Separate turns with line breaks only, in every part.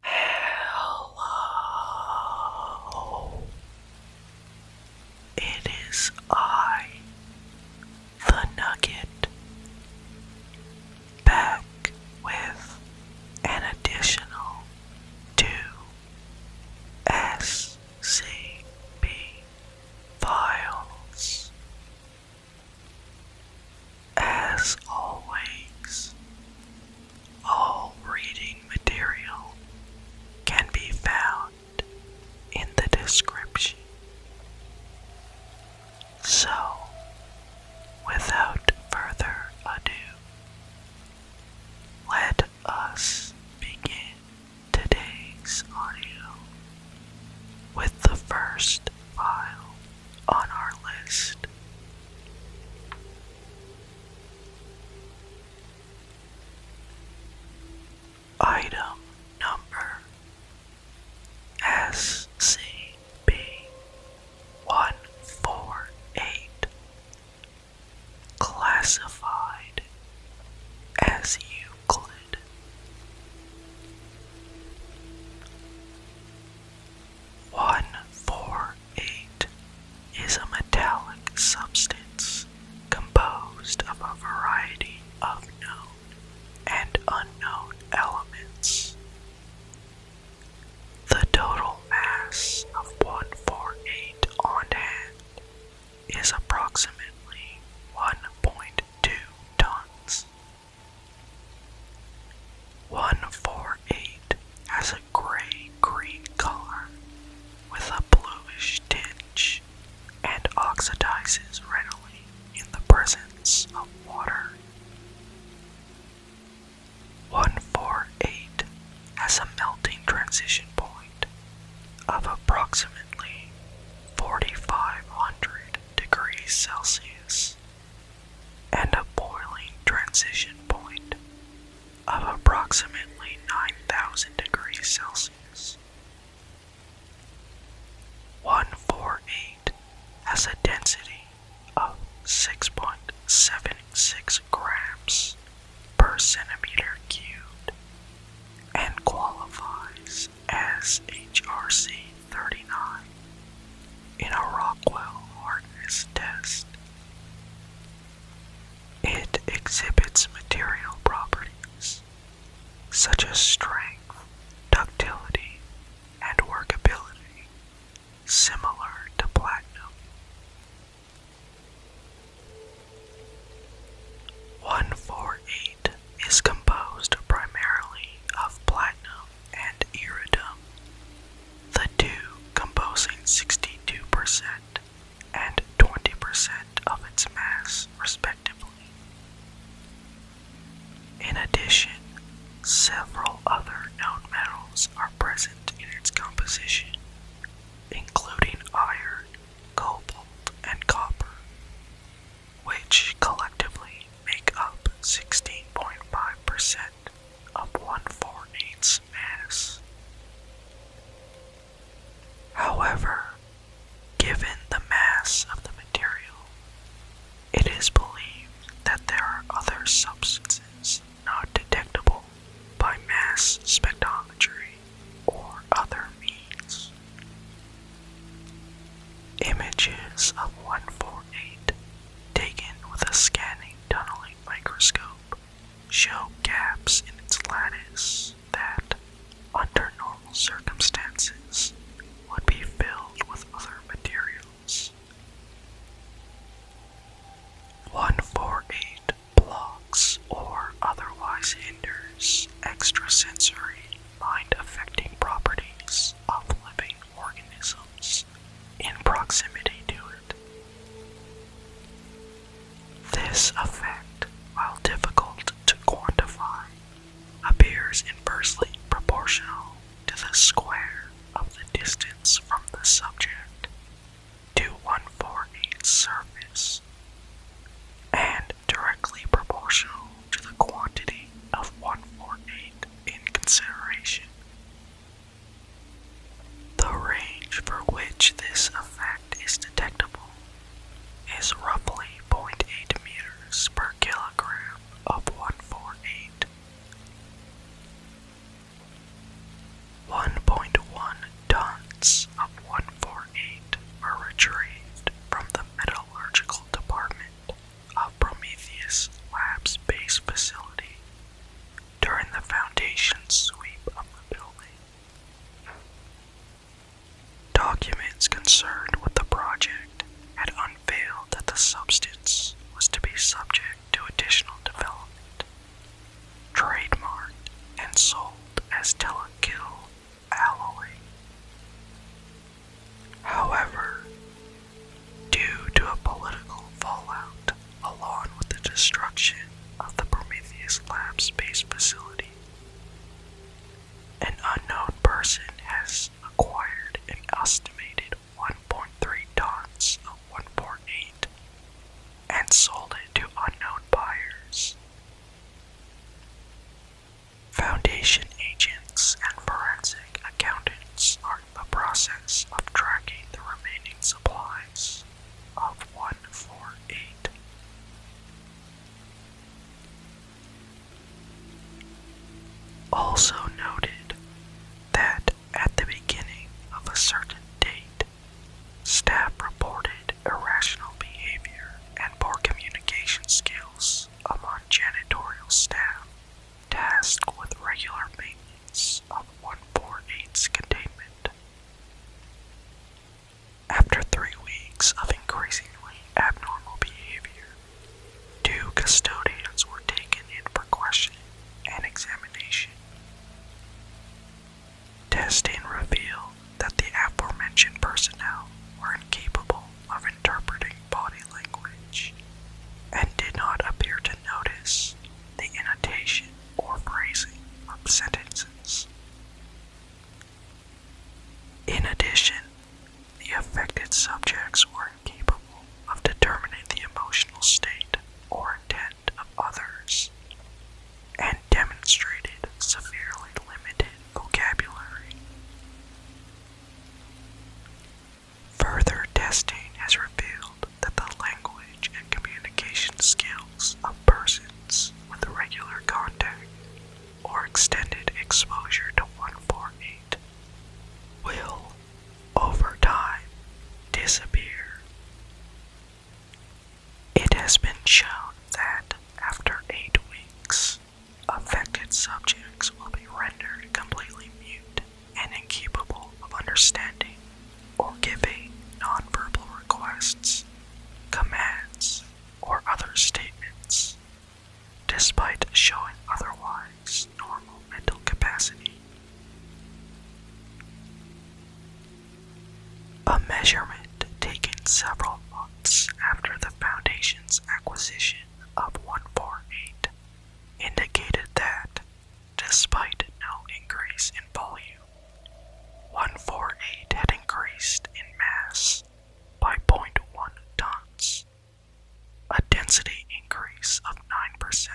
Hello. It is I, the Nugget, back with an additional two SCP files. As always, all reading material can be found in the description. So, without further ado, let us begin today's audio with the first file on our list Item number SCP 148 classified as Euclid. 148 is a metallic substance composed of a variety of known and unknown elements. The total mass of 148 on hand is approximately 1.2 tons. 148 has a gray green color with a bluish tinge and oxidizes readily in the presence of water. 148 has a melting transition point of approximately 4500 degrees Celsius and a boiling transition point of approximately 9,000 degrees Celsius. 148 has a density of 6.76 grams per centimeter cubed and qualifies is SHRC-39 in a Rockwell hardness test. It exhibits material properties such as strength, ductility, and workability similar to platinum. One four eight is composed primarily of platinum and iridium, the two composing 62% and 20% of its mass, respectively. In addition, several other known metals are present in its composition, including iron, cobalt, and copper which collectively make up 16.5% of 148's mass. However, given the mass of the material, it is believed that there are other substances not detectable by mass spectrometry or other means. Images of 148 taken with a scanning tunneling microscope show gaps in its lattice that, under normal circumstances, would be filled with other materials. 148 blocks or otherwise hinders extrasensory mind-affecting properties of living organisms in proximity to it. This effect, while difficult to quantify, appears inversely proportional to the square of the distance from the subject to one for its surface and directly proportional to the quantity of 148 in consideration. The range for which this effect is detectable is roughly 0.8 meters per kilogram of 148. 1.1 Tons of 148 were retrieved from the metallurgical department of Prometheus Lab's base facility during the foundation sweep of the building. Documents concerned with the project had unveiled that the substance was to be subject to additional development, trademarked, and sold as Telekil However, due to a political fallout along with the destruction of the Prometheus Labs base facility, an unknown person has acquired an estimated 1.3 tons of 1.8 and sold it to unknown buyers Foundation agents and forensic accountants are in the process of tracking the remaining supplies of 148. Also noted that at the beginning of a certain date, Staff reported irrational behavior and poor communication skills among janitorial staff tasked with regular maintenance of 148's containment. After three weeks of increasingly abnormal behavior, two custodians were taken in for questioning and examination. Testing revealed that the aforementioned personnel were incapable of interpreting body language and did not appear to notice the intonation or phrasing of sentences. In addition, the affected subjects were incapable of determining the emotional state or intent of others, and demonstrated severely limited vocabulary. Further testing has revealed that the language and communication skills of persons with regular contact or extended exposure to 148 will, over time, disappear. It has been shown that after eight weeks, affected subjects will be rendered completely mute and incapable of understanding or giving nonverbal requests, commands, or other statements, despite showing otherwise normal mental capacity. A measurement taken several months after the Foundation's acquisition of 148 indicated that, despite no increase in volume, 148 had increased in mass by 0.1 tons, a density increase of 9%,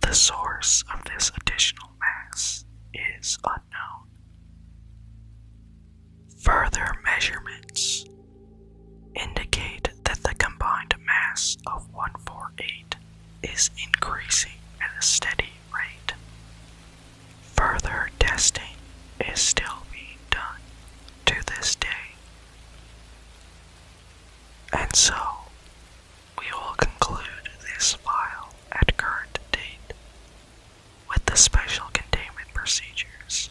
the source of this additional mass is unknown. Further measurements indicate that the combined mass of 148 is increasing at a steady rate. Further testing is still being done to this day. And so, we will conclude this file at current date with the special containment procedures.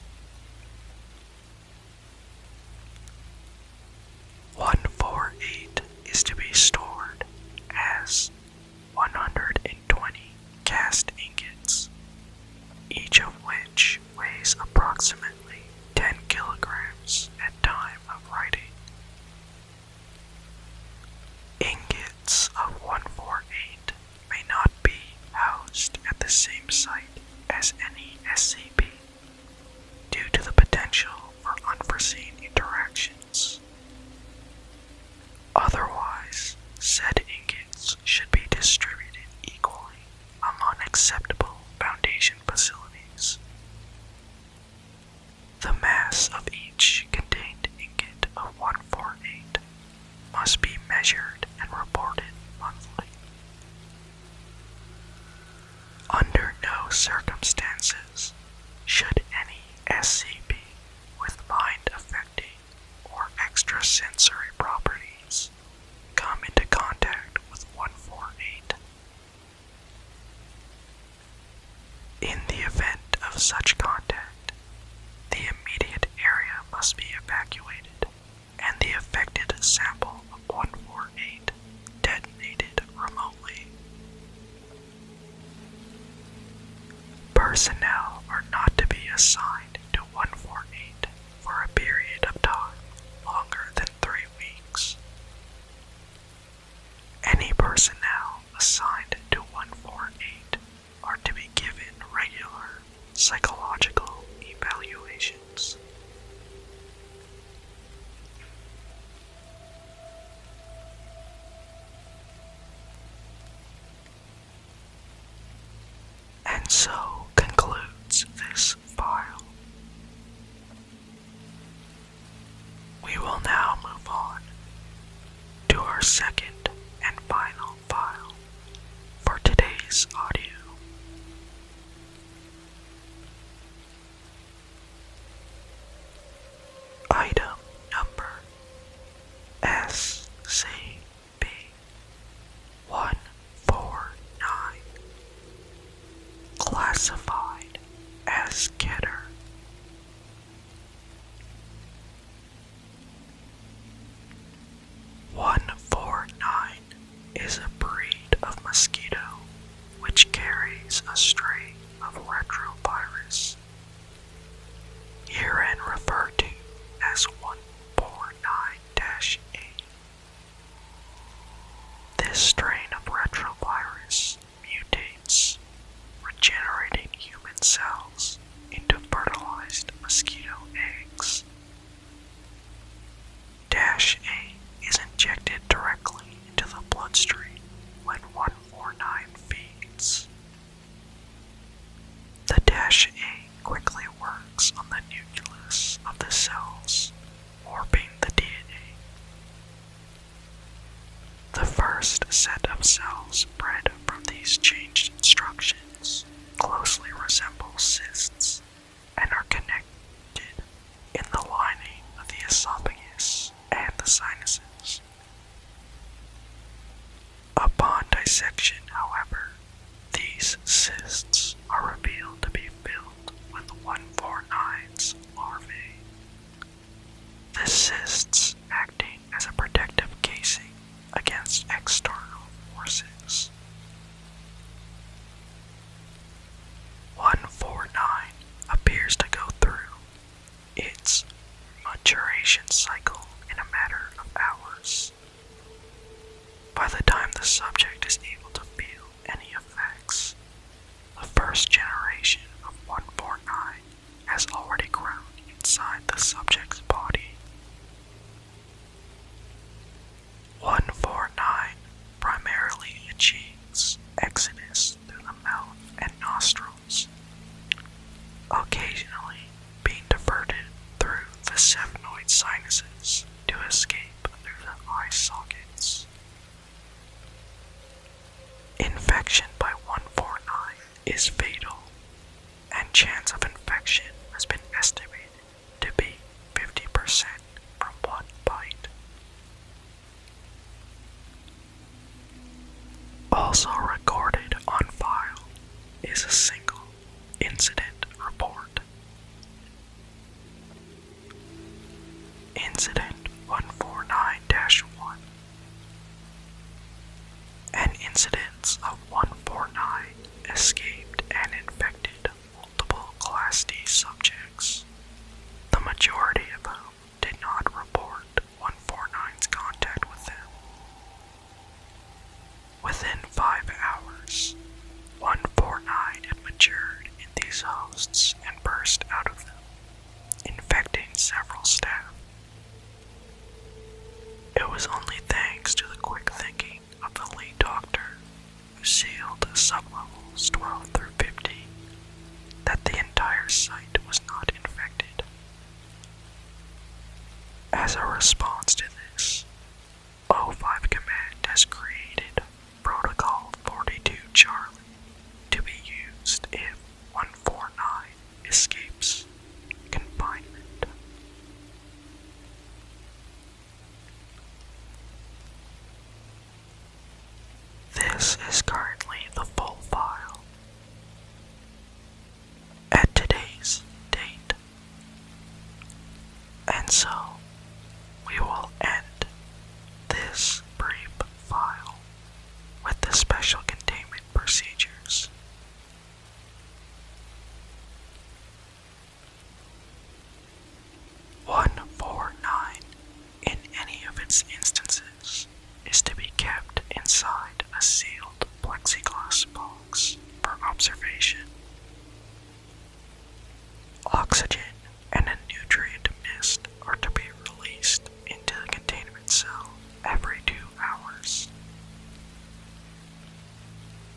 148 is to be stored as 120 cast ingots, each of which weighs approximately 10 kilograms at time of writing. Ingots of 148 may not be housed at the same site as any SCP due to the potential for unforeseen interactions. Otherwise, said ingots should be distributed equally among acceptable Foundation facilities the mass of each contained ingot of 148 must be measured and reported monthly. Under no circumstances should any SCP with mind affecting or extrasensory properties come into contact with 148 in the event of such contact, the immediate area must be evacuated and the affected sample of 148 detonated remotely. Personnel are not to be assigned to 148 for a period of time longer than three weeks. Any personnel assigned to 148 are to be given regular psychological evaluations. And so concludes this file. We will now move on to our second and final file for today's audio. Item number SCP 149 classified as Keter. One four nine is a breed of mosquito which carries a strain of retrovirus, herein referred to as 149-A this strain of retrovirus mutates regenerating human cells into fertilized mosquito eggs. Dash A is injected directly into the bloodstream when 149 feeds. The Dash A quickly works on the nucleus of the cells, warping the DNA. The first set of cells bred from these changed instructions closely resemble cysts and are connected in the lining of the esophagus and the sinuses. Upon dissection, however, these cysts are revealed to be filled with 149's larvae. The cysts acting as a protective casing against external forces. 149 appears to go through its maturation cycle in a matter of hours. By the time the subject is able to feel any effects, the first generation of 149 has already grown inside the subject's body. 149 primarily achieves exodus through the mouth and nostrils. Occasionally, being diverted through the seminoid sinuses to escape through the eye sockets. Infection by 149 is fatal, and chance of infection has been estimated to be 50% from one bite. Also recorded on file is a single Incident Report. Incident 149 1. An incidence of 149 escaped and infected multiple Class D subjects, the majority of whom did not report 149's contact with them, Within five hours, one 149 had matured in these hosts and burst out of them, infecting several staff. It was only thanks to the quick thinking of the lead doctor who sealed sublevels 12 through 15 that the entire site was not infected as a response to this, O5 Command has created Protocol 42 Charlie to be used if 149 escapes confinement. This is currently the full file at today's date. And so we will end this brief file with the special containment procedures. One four nine in any of its instances is to be kept inside a sealed plexiglass box for observation. Oxygen and a nutrient mist are to be released into the containment cell every two hours.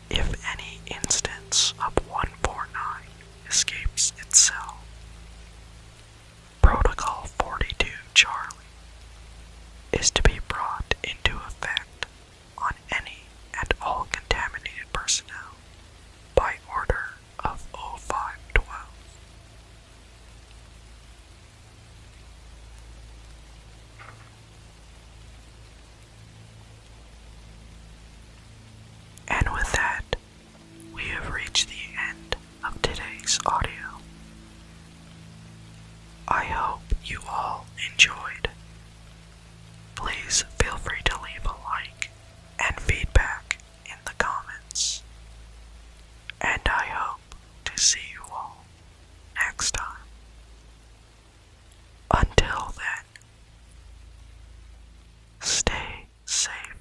If any instance of 149 escapes its cell, Protocol 42 Charlie is to be brought into effect on any and all contaminated personnel by order of 0512. And with that, we have reached the end of today's audio. I hope you all enjoyed. Please feel free to leave a like and feedback in the comments. And I hope to see you all next time. Until then, stay safe.